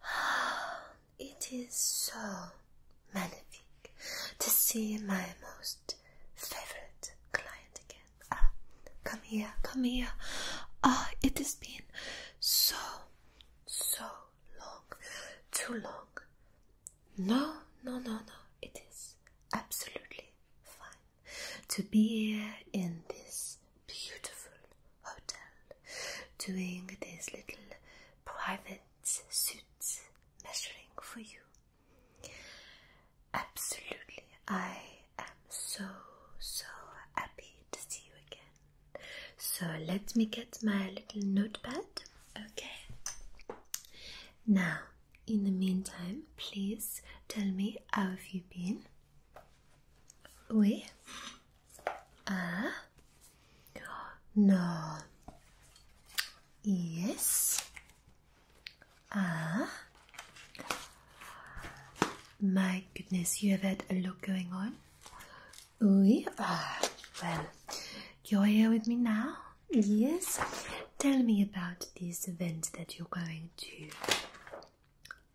it is so magnificent to see my most favorite client again. Ah, come here, come here. Ah, it has been so, so long, too long. No, no, no, no. It is absolutely fine to be here in this beautiful hotel doing these little private suits measuring for you. Absolutely, I am so so happy to see you again. So let me get my little notepad, okay? Now, in the meantime, please tell me how have you been? Oui. Ah. No. Yes. Ah. My goodness, you have had a lot going on. We are well, you're here with me now. Yes. Tell me about this event that you're going to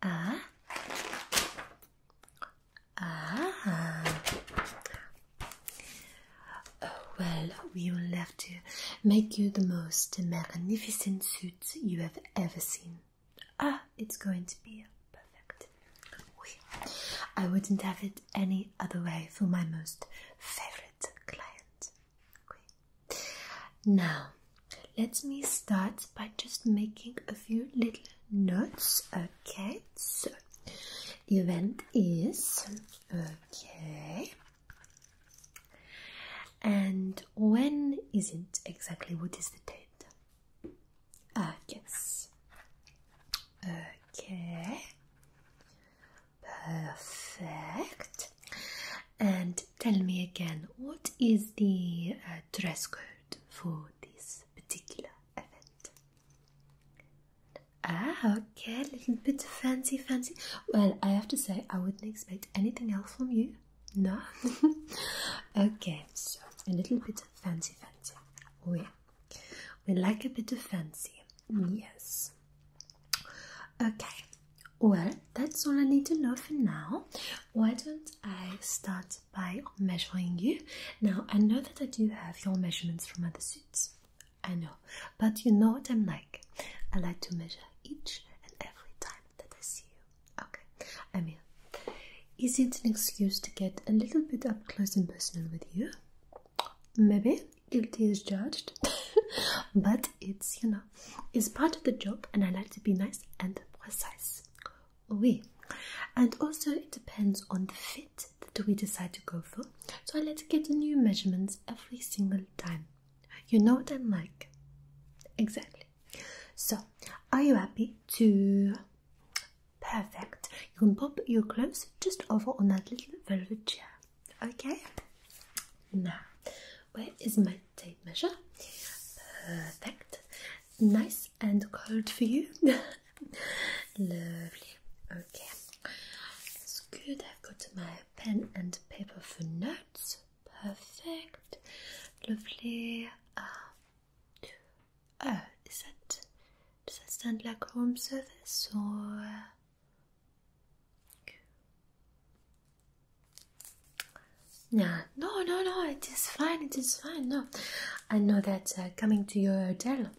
ah, ah. well, we will have to make you the most magnificent suit you have ever seen. Ah, it's going to be perfect. I wouldn't have it any other way for my most favorite client. Oui. Now, let me start by just making a few little notes. Okay, so the event is okay. And when is it exactly? What is the date? Ah, yes. Okay. Perfect. And tell me again, what is the uh, dress code for this particular event. Ah, okay, a little bit fancy, fancy. Well, I have to say, I wouldn't expect anything else from you. No? okay, so a little bit fancy, fancy. We, oh, we like a bit of fancy. Yes. Okay, well, that's all I need to know for now. Why don't I start by measuring you. Now, I know that I do have your measurements from other suits. I know. But you know what I'm like. I like to measure each and every time that I see you. Okay, I'm here. Is it an excuse to get a little bit up close and personal with you? Maybe guilty is judged, but it's, you know, it's part of the job and I like to be nice and precise oui. And also, it depends on the fit that we decide to go for. So, I like to get the new measurements every single time. You know what I'm like. Exactly. So, are you happy to? Perfect. You can pop your clothes just over on that little velvet chair. Okay. Now, where is my tape measure? Perfect. Nice and cold for you. Lovely. Okay. it's good. I've got my pen and paper for notes. Perfect. Lovely. Uh, is that does that stand like home service or? Yeah, no, no, no, it is fine, it is fine. No, I know that uh, coming to your hotel,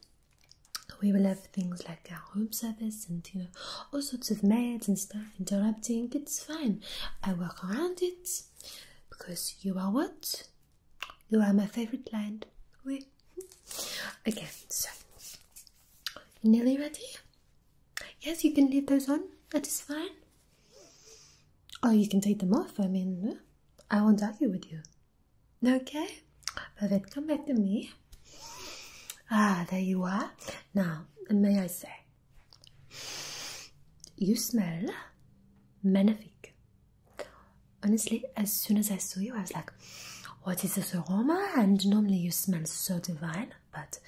we will have things like our room service and you know, all sorts of maids and stuff interrupting. It's fine, I work around it because you are what you are my favorite land. We again. so nearly ready. Yes, you can leave those on, that is fine. Oh, you can take them off. I mean, I won't argue with you. Okay? But then come back to me. Ah, there you are. Now, may I say, you smell magnifique. Honestly, as soon as I saw you, I was like, what is this aroma? And normally you smell so divine, but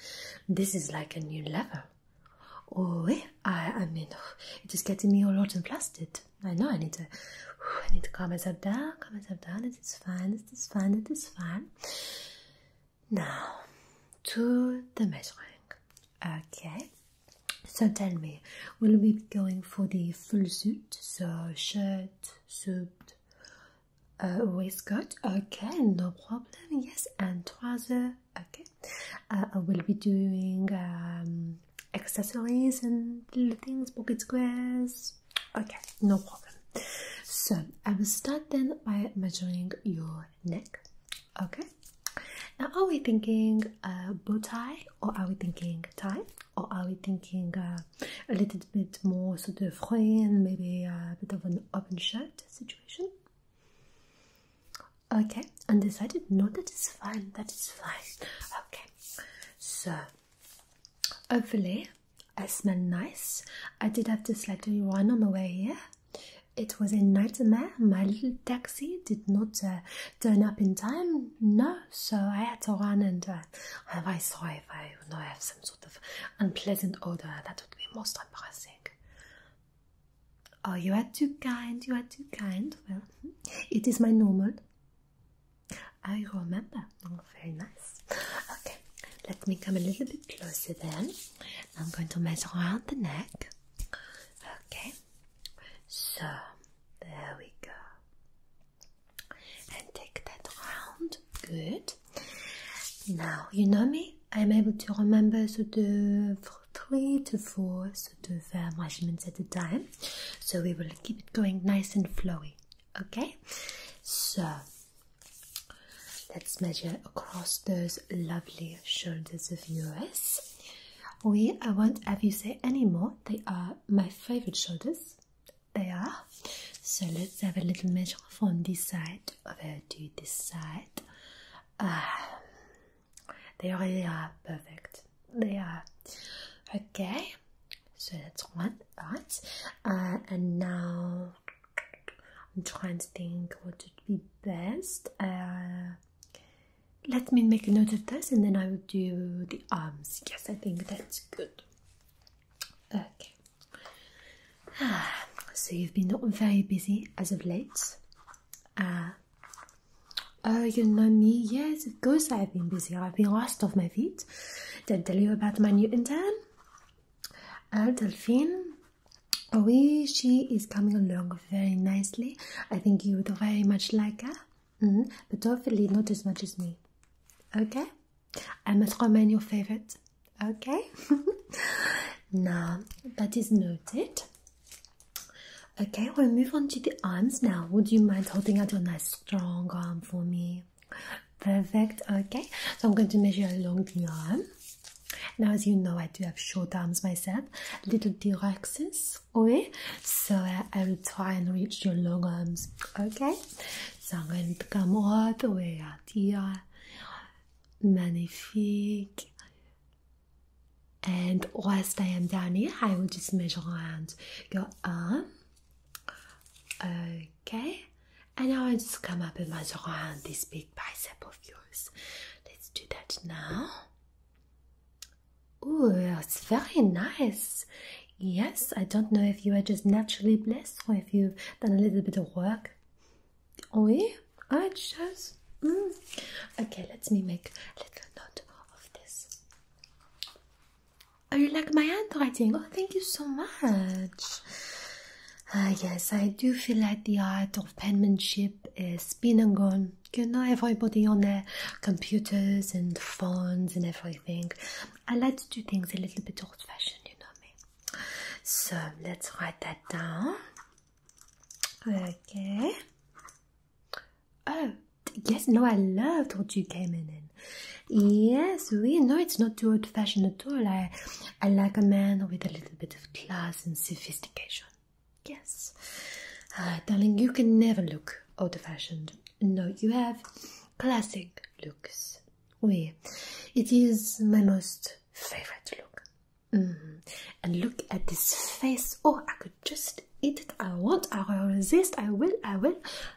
this is like a new level. Oh, yeah. I, I mean, it is getting me all hot and flustered. I know I need to, I need to calm myself down, calm myself down. It is fine, it is fine, it is fine. Now, to the measuring. Okay. So tell me, will we be going for the full suit? So shirt, suit, uh, waistcoat. Okay, no problem. Yes, and trousers. Okay. Uh, I will be doing um, accessories and little things pocket squares okay no problem so I will start then by measuring your neck okay now are we thinking a bow tie or are we thinking tie or are we thinking uh, a little bit more sort of and maybe a bit of an open shirt situation Okay, undecided? No, that is fine, that is fine. Okay, so hopefully, I smell nice. I did have to slightly run on the way here. It was a nightmare. My little taxi did not uh, turn up in time. No, so I had to run and uh, I sorry if I you know, have some sort of unpleasant odor. That would be most embarrassing. Oh, you are too kind, you are too kind. Well, it is my normal. I remember. Oh, very nice. Okay, let me come a little bit closer then. I'm going to measure around the neck. Okay, so there we go. And take that round. Good. Now, you know me? I'm able to remember sort of three to four sort of uh, measurements at a time. So we will keep it going nice and flowing, Okay, so let's measure across those lovely shoulders of yours. We I won't have you say any more. They are my favorite shoulders. They are. So let's have a little measure from this side over to this side. Um, they really are perfect. They are. Okay, so that's one. Right. Uh, and now I'm trying to think what would be best. Uh, let me make a note of this and then I will do the arms. Yes, I think that's good. Okay. Ah, so you've been not very busy as of late. Ah. Oh, you know me? Yes, of course I've been busy. I've been lost off my feet. Did I tell you about my new intern? Uh, Delphine. Oui, she is coming along very nicely. I think you would very much like her. -hmm. But hopefully not as much as me. Okay? I must remain your favorite. Okay? Now that is noted. Okay, we'll move on to the arms now. Would you mind holding out your nice strong arm for me? Perfect. Okay, so I'm going to measure along the arm. Now, as you know, I do have short arms myself, little T-Rexes, So I will try and reach your long arms, okay? So I'm going to come all the way out here. Magnifique and whilst I am down here I will just measure around your arm okay and now I just come up and measure around this big bicep of yours let's do that now oh it's very nice yes I don't know if you are just naturally blessed or if you've done a little bit of work Oui, I just. Okay, let me make a little note of this. Oh, you like my handwriting? Oh, thank you so much. Ah, yes, I do feel like the art of penmanship is been and gone. You know, everybody on their computers and phones and everything. I like to do things a little bit old fashioned, you know me. So let's write that down. Okay. Oh, yes, no, I loved what you came in in. Yes, we know it's not too old fashioned at all. I, I like a man with a little bit of class and sophistication. Yes. Uh, darling, you can never look old fashioned. No, you have classic looks. Oui, it is my most favorite look. Mm-hmm. And look at this face. Oh, I could just eat it. I want, I will resist, I will, I will,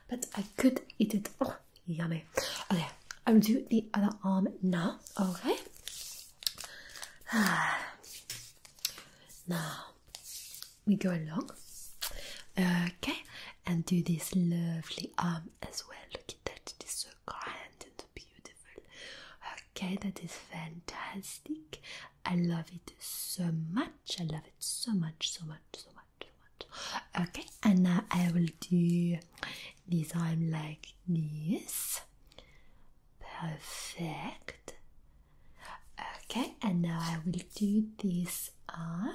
but I could eat it. Oh, yummy. Okay, I'll do the other arm now. Okay. Now we go along. Okay, and do this lovely arm as well. Look at that, it is so grand and beautiful. Okay, that is fantastic. I love it so much. I love it so much, so much, so much, so much. Okay, and now I will do this arm like this. Perfect. Okay, and now I will do this arm.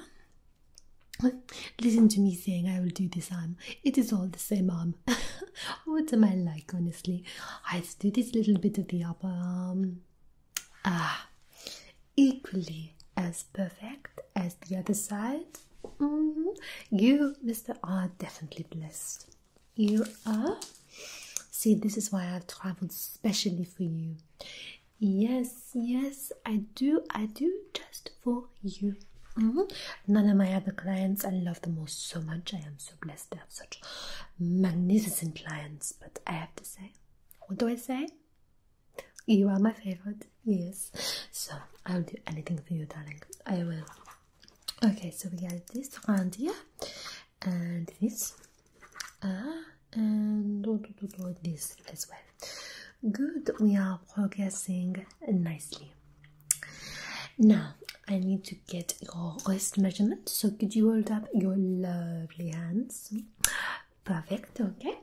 Listen to me saying I will do this arm. It is all the same arm. Um, what am I like, honestly? I do this little bit of the upper arm. Ah, equally as perfect as the other side. Mm-hmm. You, Mr. are definitely blessed. You are. See, this is why I've traveled specially for you. Yes, yes, I do. I do just for you. Mm-hmm. None of my other clients, I love them most so much. I am so blessed they have such magnificent lions. But I have to say, what do I say? You are my favorite, yes. So I'll do anything for you, darling. I will. Okay, so we have this round here, and this, ah, and do, do, do, this as well. Good, we are progressing nicely. Now I need to get your wrist measurement. So could you hold up your lovely hands? Perfect. Okay.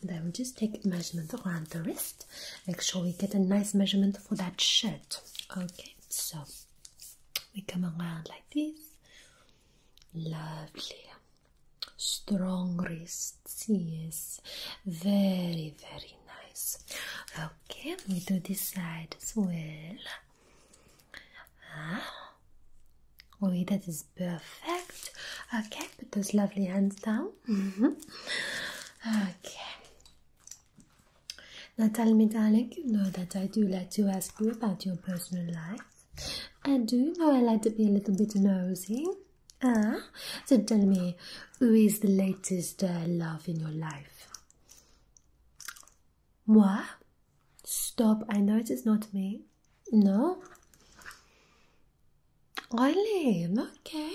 And I will just take measurement around the wrist. Make sure we get a nice measurement for that shirt. Okay. So we come around like this. Lovely. Strong wrist. Yes. Very very nice. Okay, we do this side as well. Ah. Oh, that is perfect. Okay, put those lovely hands down. Mm-hmm. Okay. Now tell me, darling, you know that I do like to ask you about your personal life. I do know I like to be a little bit nosy? Ah, so tell me, who is the latest uh, love in your life? Moi? Stop, I know it is not me. No? Eileen, okay.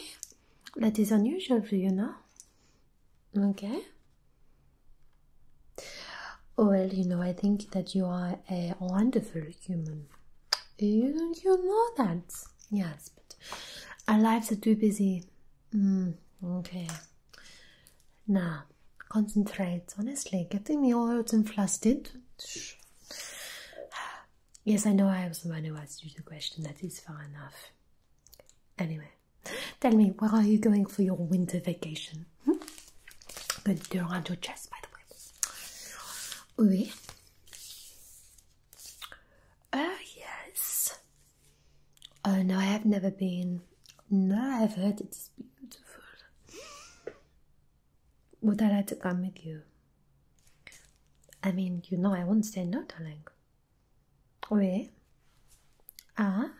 That is unusual for you, no? Okay. Well, you know, I think that you are a wonderful human. You, you know that. Yes, but our lives are too busy Mm, okay. Now, concentrate. Honestly, getting me all out and flustered. Yes, I know I was the one who asked you the question. That is far enough. Anyway, tell me, where are you going for your winter vacation? Hmm? I'm going to your chest, by the way. Oui. Oh, yes. Oh no, I have never been. No, I've heard it's beautiful. Would I like to come with you? I mean, you know, I won't say no, darling. Where? Eh? Ah,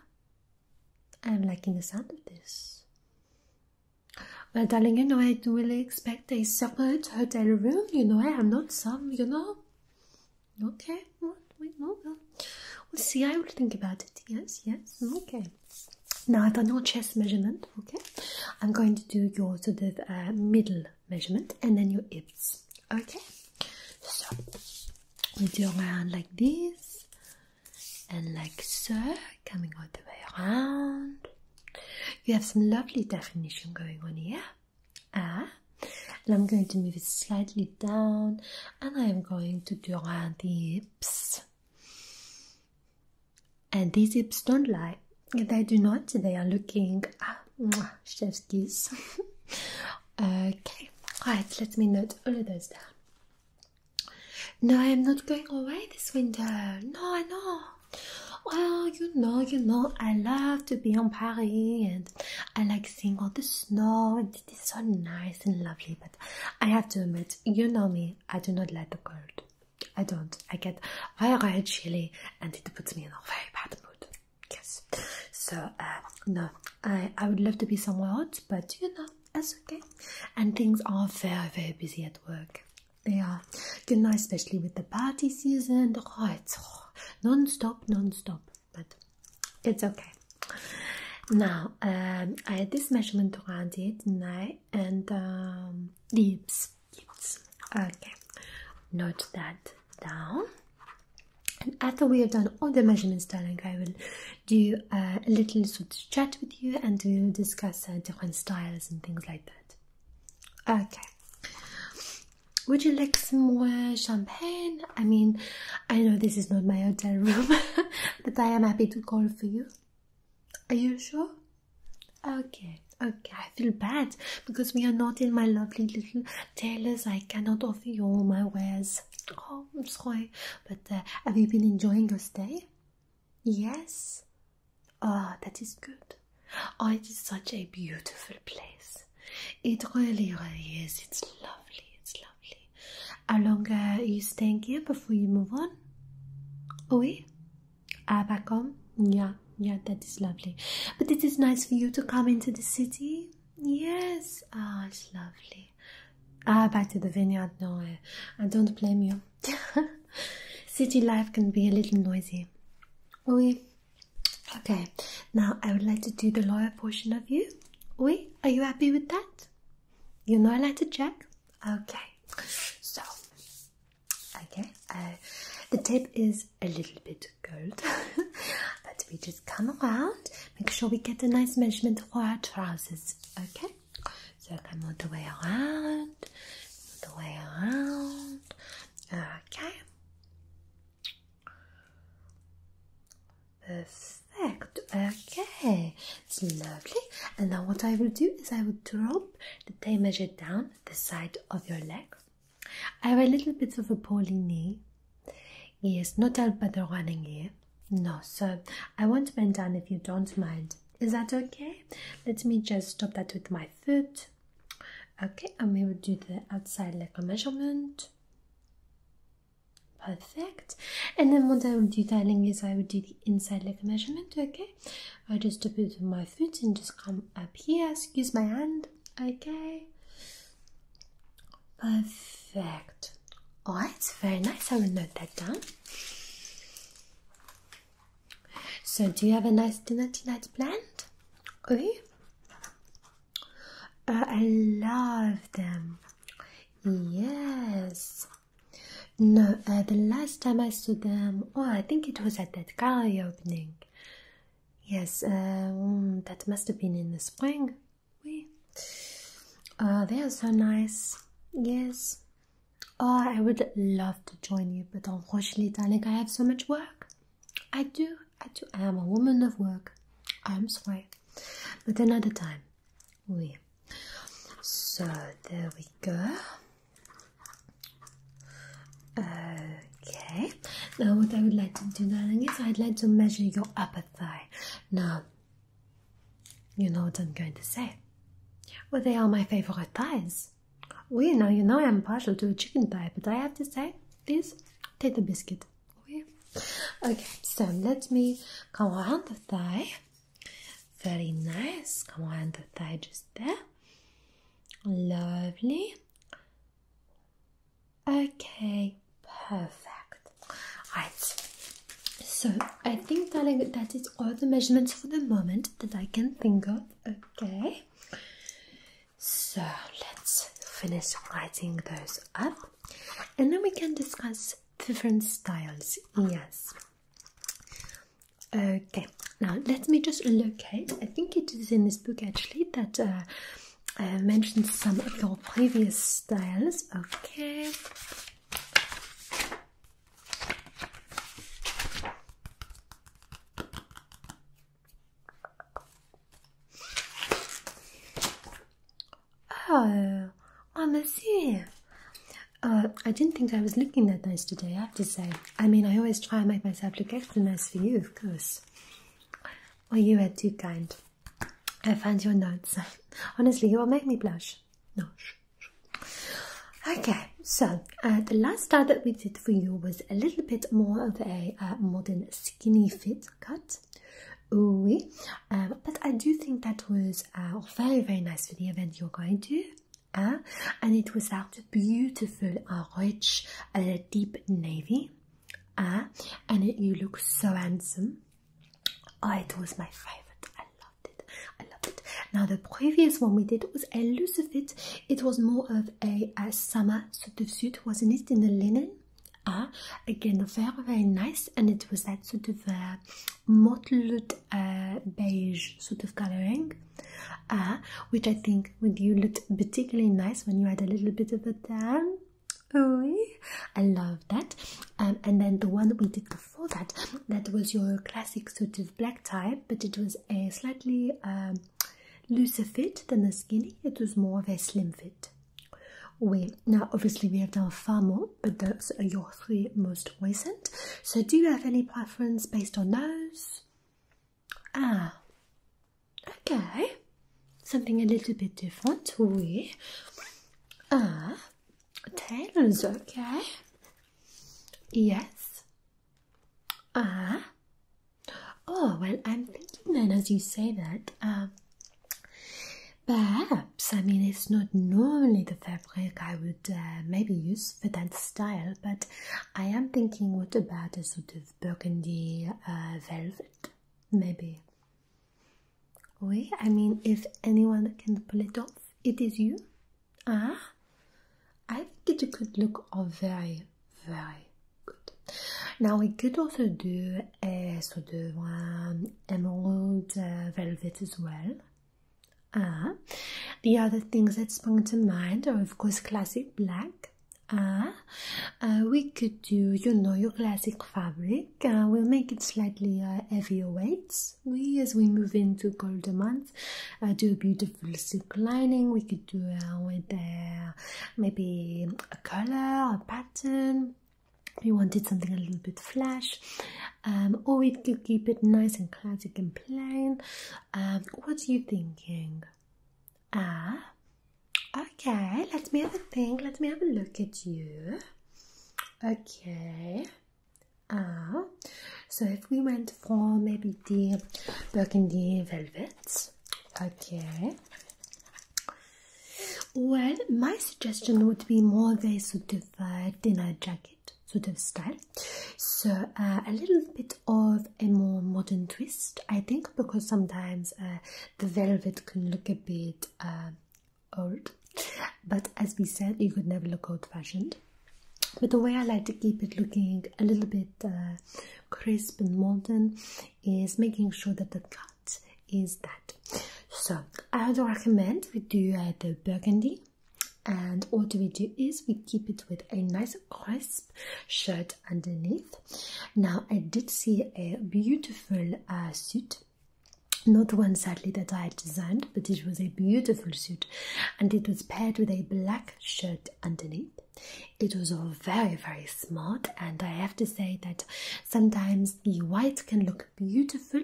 I'm liking the sound of this. Well, darling, you know, I do not really expect a separate hotel room. You know, I am not some, you know, Okay, well, wait, no, we'll see. I will think about it. Yes, yes. Okay. Now I've done your chest measurement. Okay, I'm going to do your sort of uh, middle measurement and then your hips. Okay, so we do around like this and like so, coming all the way around. You have some lovely definition going on here ah and I'm going to move it slightly down and I am going to draw the hips and these hips don't lie they do not they are looking ah mwah, chef's kiss okay right let me note all of those down no I am not going away this winter no no. know well you know you know I love to be in Paris and I like Seeing all the snow it is so nice and lovely but I have to admit you know me I do not like the cold I don't I get very very chilly and it puts me in a very bad mood yes so uh, no I, I would love to be somewhere else but you know that's okay and things are very very busy at work they are you know especially with the party season oh it's non-stop non-stop but it's okay. Now um, I had this measurement around it, and, and um, lips, Okay, note that down. And after we have done all the measurements, darling, I will do uh, a little sort of chat with you, and we will discuss uh, different styles and things like that. Okay. Would you like some more champagne? I mean, I know this is not my hotel room, but I am happy to call for you. Are you sure? Okay, okay, I feel bad because we are not in my lovely little tailors. I cannot offer you all my wares. Oh, I'm sorry, but uh, have you been enjoying your stay? Yes. Ah, oh, that is good. Oh, it is such a beautiful place. It really, really is. It's lovely. It's lovely. How long are you staying here before you move on? Oui? Ah, back home? Yeah, yeah, that is lovely. But it is nice for you to come into the city. Yes. Ah, it's lovely. Ah, back to the vineyard. No, I don't blame you. city life can be a little noisy. Oui. Okay, now I would like to do the lower portion of you. Oui, are you happy with that? You are not allowed to check? Okay, so, okay, uh, the tape is a little bit cold, but we just come around, make sure we get a nice measurement for our trousers, okay? So come all the way around, all the way around, okay. Perfect. Okay, it's lovely. And now what I will do is I will drop the tape measure down the side of your leg. I have a little bit of a poorly knee. Yes, not out by the running here. No, so I won't bend down if you don't mind. Is that okay? Let me just stop that with my foot. Okay, and we will do the outside leg a measurement. Perfect. And then what I will do, darling, is I will do the inside leg measurement, okay? I just step it with my foot and just come up here, excuse my hand, okay? Perfect. Alright, very nice. I will note that down. So, do you have a nice dinner tonight planned? Oui? Uh, I love them. Yes. No, uh, the last time I saw them, oh, I think it was at that gallery opening. Yes, um, that must have been in the spring. Oui. Uh, they are so nice. Yes. Oh, I would love to join you, but unfortunately, Tanik, I have so much work. I do. I do. I am a woman of work. I'm sorry, but another time. we. So there we go. Okay. Now what I would like to do, darling, is I'd like to measure your upper thigh. Now, you know what I'm going to say. Well, they are my favorite thighs. Well, you know, you know I'm partial to a chicken thigh, but I have to say, this: take the biscuit. Okay, so let me come around the thigh. Very nice. Come around the thigh just there. Lovely. Okay, perfect. Right. So I think, darling, that is all the measurements for the moment that I can think of. Okay. So let's finish writing those up and then we can discuss different styles. Yes. Okay, now let me just locate. I think it is in this book actually that uh, I mentioned some of your previous styles. Okay. Oh, I monsieur. Uh, I didn't think I was looking that nice today, I have to say. I mean, I always try and make myself look extra nice for you, of course. Well, you are too kind. I found your notes. Honestly, you will make me blush. No, Okay, so uh, the last star that we did for you was a little bit more of a a modern skinny fit cut. Oui. Um, but I do think that was very, very nice for the event you're going to. Uh, and it was that beautiful, uh, rich, uh, deep navy. Uh, and you look so handsome. Oh, it was my favorite. I loved it. I loved it. Now, the previous one we did was a loose fit. It was more of a summer so the suit wasn't in the linen? Again, very, very nice. And it was that sort of a mottled uh, beige sort of coloring, which I think with you looked particularly nice when you had a little bit of a tan. Oh, I love that. Um, and then the one we did before that, that was your classic sort of black tie, but it was a slightly um, um, looser fit than the skinny. It was more of a slim fit. We now obviously we have done far more, but those are your three most recent. So do you have any preference based on those? Ah, okay, something a little bit different. We ah tails, okay. Yes. Ah, Oh, well, I'm thinking then as you say that, uh, perhaps, I mean, it's not normally the fabric I would uh, maybe use for that style, but I am thinking what about a sort of burgundy uh, velvet, maybe? We, I mean, if anyone can pull it off, it is you. Ah, I think it could look oh, very, very good. Now we could also do a sort of um, emerald uh, velvet as well. Uh, the other things that sprung to mind are of course classic black. Ah. Uh, we could do, you know, your classic fabric. Uh, we'll make it slightly uh, heavier weights. We, as we move into colder months, do a beautiful diffuse lining. We could do uh, with maybe a color, a pattern. We wanted something a little bit flash, um, or we could keep it nice and classic and plain. Um, what are you thinking? Ah, okay. Let me have a think. Let me have a look at you. Okay. Ah, so if we went for maybe the burgundy velvet. Okay. Well, my suggestion would be more of a sort of uh, dinner jacket sort of style. So uh, a little bit of a more modern twist, I think, because sometimes uh, the velvet can look a bit uh, old. But as we said, you could never look old-fashioned. But the way I like to keep it looking a little bit crisp and molten is making sure that the cut is that. So I would recommend we do uh, the burgundy and what we do is we keep it with a nice crisp shirt underneath. Now I did see a beautiful uh, suit not one sadly that I designed, but it was a beautiful suit and it was paired with a black shirt underneath. It was all very, very smart, and I have to say that sometimes the white can look beautiful,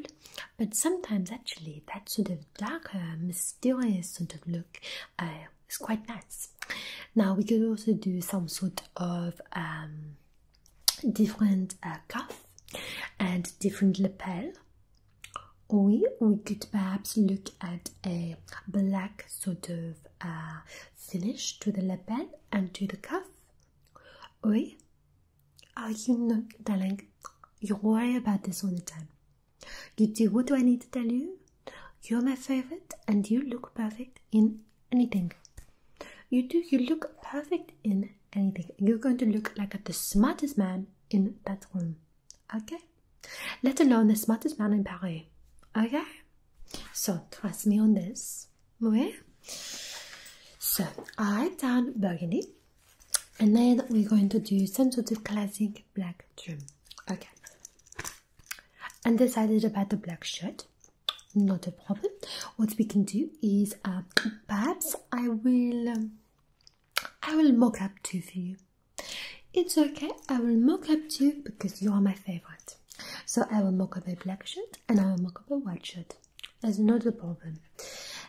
but sometimes actually that sort of darker, mysterious sort of look uh, is quite nice. Now, we could also do some sort of um, different uh, cuff and different lapel. Or we could perhaps look at a black sort of uh, finish to the lapel and to the cuff. Oui? are you not darling, you worry about this all the time. You do what do I need to tell you? You're my favorite and you look perfect in anything. You do, you look perfect in anything. You're going to look like the smartest man in that room. Okay? Let alone the smartest man in Paris. Okay? So, trust me on this. Okay? So, i done burgundy. And then we're going to do some sort of classic black trim. Okay. undecided about the black shirt. Not a problem. What we can do is uh, perhaps I will um, I will mock up two for you. It's okay, I will mock up two because you are my favorite. So I will mock up a black shirt and I will mock up a white shirt. There's not problem.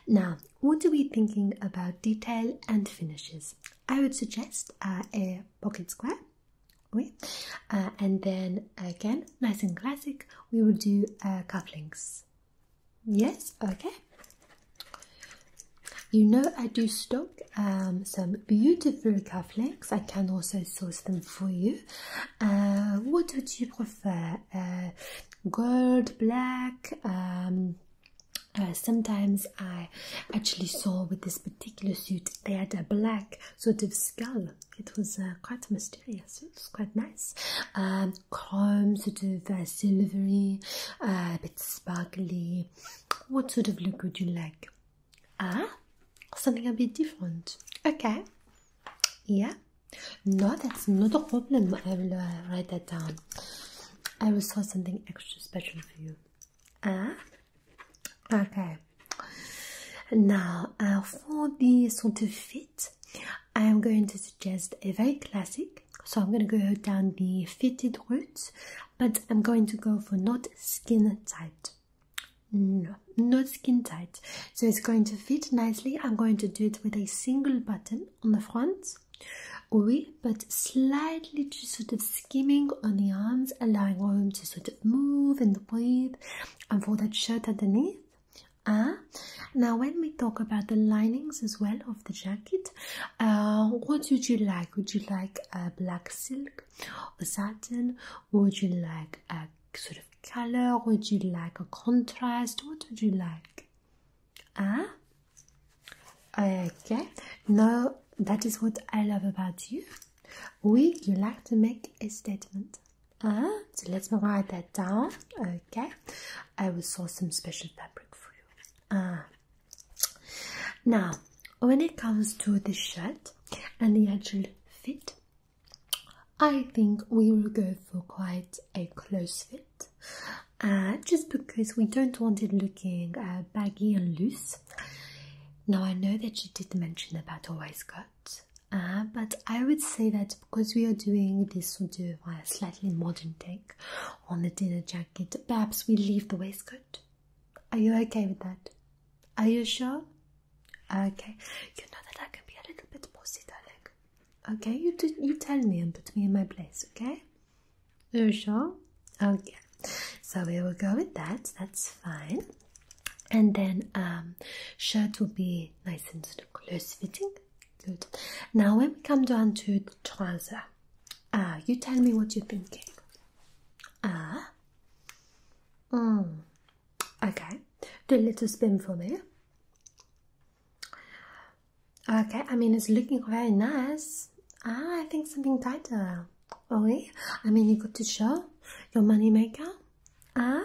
Now, what are we thinking about detail and finishes? I would suggest uh, a pocket square. Okay. Uh, and then again, nice and classic, we will do uh, cufflinks. Yes, okay. You know I do stock um, some beautiful cufflinks. I can also source them for you. Uh, what would you prefer? Uh, gold, black, um, uh, sometimes I actually saw with this particular suit they had a black sort of skull. It was quite mysterious. It was quite nice. Um, chrome, sort of uh, silvery, a bit sparkly. What sort of look would you like? Ah, something a bit different. Okay. Yeah. No, that's not a problem. I will uh, write that down. I will sort something extra special for you. Ah. Okay. Now, uh, for the sort of fit, I am going to suggest a very classic. So I'm going to go down the fitted route but I'm going to go for not skin tight. No, not skin tight. So it's going to fit nicely. I'm going to do it with a single button on the front. Oui, but slightly just sort of skimming on the arms, allowing room to sort of move and breathe, and for that shirt underneath. Ah, now when we talk about the linings as well of the jacket, what uh, would you like? Would you like a black silk a satin? Would you like a sort of color? Would you like a contrast? What would you like? Ah, okay. No, that is what I love about you. We. you like to make a statement. Ah, huh? so let me write that down. Okay, I will source some special fabric for you. Ah, now, when it comes to the shirt and the actual fit, I think we will go for quite a close fit uh, just because we don't want it looking uh, baggy and loose. Now, I know that you did mention about a waistcoat, but I would say that because we are doing this sort of uh, slightly modern take on the dinner jacket, perhaps we leave the waistcoat are you okay with that? Are you sure? Okay. You know that I can be a little bit bossy, darling. Okay, you you tell me and put me in my place, okay? Are you sure? Okay. So we will go with that. That's fine. And then um, shirt will be nice and close fitting. Good. Now when we come down to the trouser, Ah, you tell me what you're thinking. Ah. Mm. Okay. Do a little spin for me. Okay, I mean it's looking very nice. Ah, I think something tighter. Oh, oui. Eh? I mean you got to show your money maker. Ah,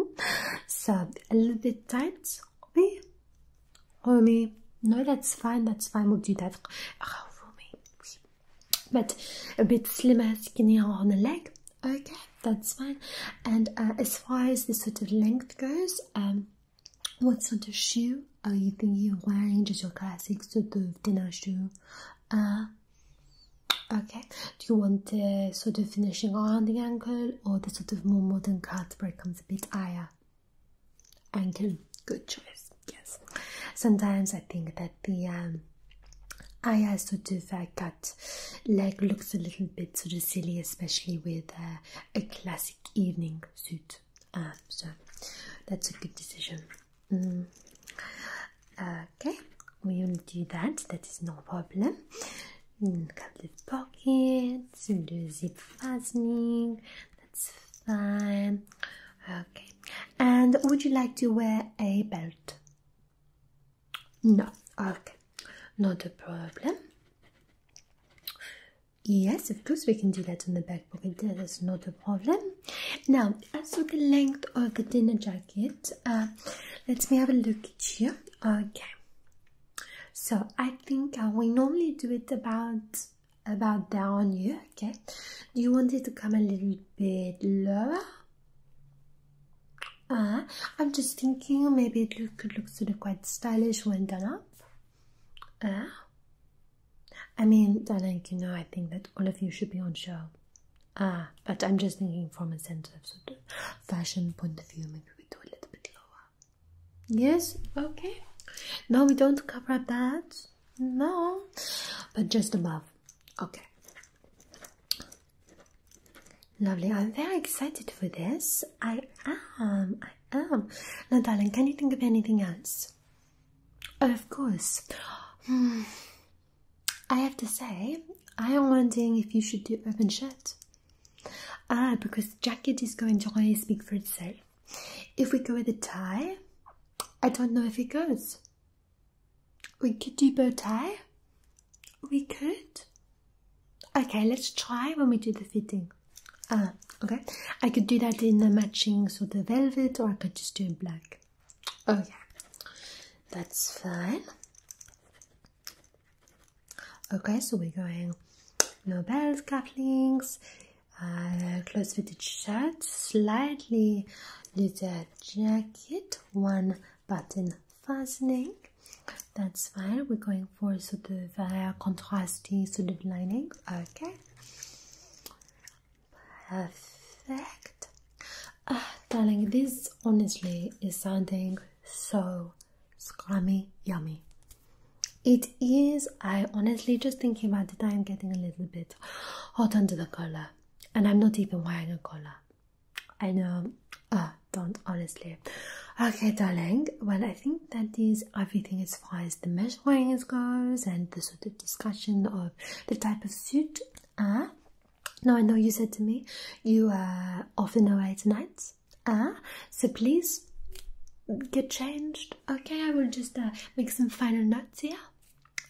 so a little bit tight. Oui. Eh? Rumi, no, that's fine, that's fine, we'll do that. Oh, but a bit slimmer, skinnier on the leg. Okay, that's fine. And uh, as far as the sort of length goes, um, what sort of shoe are you thinking of wearing? Just your classic sort of dinner shoe. Uh, okay, do you want the sort of finishing around the ankle or the sort of more modern cut where it comes a bit higher? until good choice yes sometimes i think that the um i also do that cut leg looks a little bit sort of silly especially with a classic evening suit um, so that's a good decision mm. okay we will do that that is no problem Got mm, the pockets, do zip fastening, that's fine. Okay. And would you like to wear a belt? No. Okay. Not a problem. Yes, of course we can do that on the back pocket. That is not a problem. Now, as for the length of the dinner jacket, uh, let me have a look at you. Okay. So I think uh, we normally do it about about down here, okay do you want it to come a little bit lower uh, i'm just thinking maybe it could look sort of quite stylish when done up uh, i mean I darling you know i think that all of you should be on show uh, but i'm just thinking from a sense of sort of fashion point of view maybe we do a little bit lower Yes, okay. No, we don't cover that. No, but just above. Okay. Lovely. I'm very excited for this. I am. I am. Now, darling, can you think of anything else? Oh, of course. Hmm. I have to say, I am wondering if you should do open shirt. Ah, because the jacket is going to always speak for itself. If we go with a tie, I don't know if it goes. We could do bow tie. We could. Okay, let's try when we do the fitting. Ah, okay. I could do that in the matching sort of velvet, or I could just do black. Oh yeah, that's fine. Okay, so we're going no bells, cufflinks, uh, close fitted shirt, slightly with a jacket, one button fastening. That's fine. We're going for sort of uh, contrasty sort of lining. Okay. Perfect. Ah, darling, this honestly is sounding so scrummy yummy. It is. I honestly just thinking about it, I am getting a little bit hot under the collar, and I'm not even wearing a collar. I know. Ah, don't honestly. Okay, darling. Well, I think that is everything as far as the measuring is goes, and the sort of discussion of the type of suit. Ah, now I know you said to me you are uh, off in a way tonight. Ah, so please get changed. Okay, I will just uh, make some final notes here.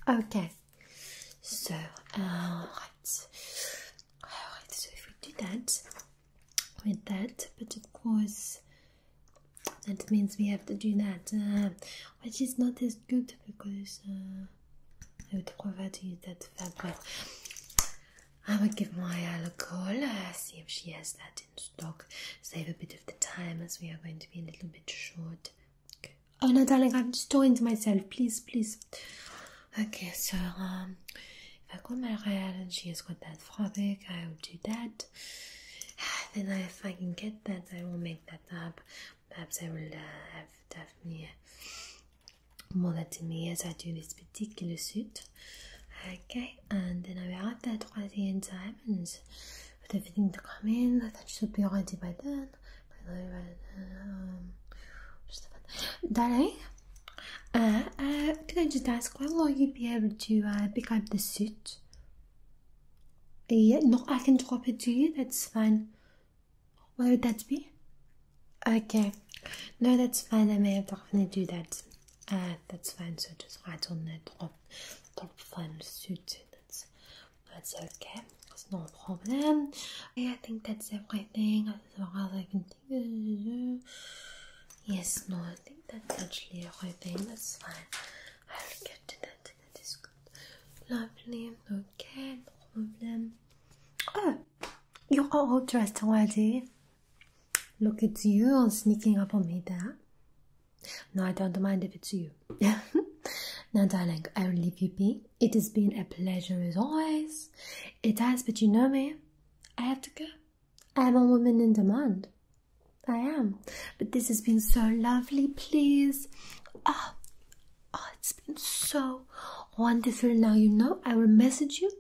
Okay, so uh, So if we do that with that, but of course that means we have to do that, uh, which is not as good because uh, I would prefer to use that fabric. I will give Maya a call, uh, see if she has that stock. Save a bit of the time as we are going to be a little bit short. Oh no, darling, I've stoned myself. Please, please. Okay, so um, if I call Mariah and she has got that frothic, I will do that. Then if I can get that, I will make that up. Perhaps I will uh, have Daphne model to me uh, as I do this particular suit. Okay, and then I will add that gradient diamonds. But everything to come in, that should be ready by then. By the way, um, Darling, uh, uh, can I just ask how will you be able to uh, pick up the suit? Yeah, no, I can drop it to you. That's fine. Where would that be? Okay. No, that's fine. I may have definitely do that. Uh, that's fine. So just write on the drop Dolphin suit. That's that's okay. It's no problem. I think that's everything. As far as I can think. Yes, no, I think that's actually everything. That's fine. I'll get to that. That is good. Lovely. Okay, no problem. Oh, you're all dressed already. Look, at you on sneaking up on me there. No, I don't mind if it's you. now, darling, I will leave you be. It has been a pleasure as always. It has, but you know me. I have to go. I am a woman in demand. I am. But this has been so lovely, please. Oh, oh it's been so wonderful. Now, you know, I will message you.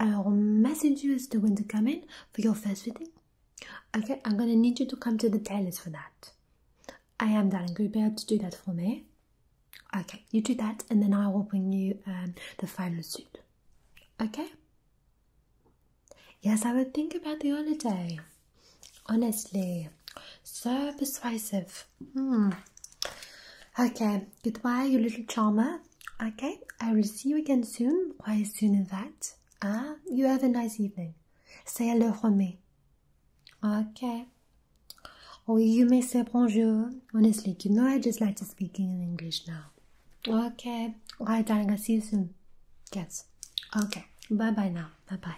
I will message you as the when to come in for your first fitting. Okay, I'm gonna need you to come to the tailors for that. I am darling, will you be able to do that for me? Okay, you do that and then I will bring you um, the final suit. Okay? Yes, I would think about the holiday. Honestly, so persuasive. Hmm. Okay, goodbye, you little charmer. Okay, I will see you again soon. Quite soon, in fact. Ah, you have a nice evening. Say hello, Romé. Okay. Oh, you may say bonjour. Honestly, you know I just like to speak in English now. Okay. Alright, darling, I'll see you soon. Yes. Okay. Bye bye now. Bye bye.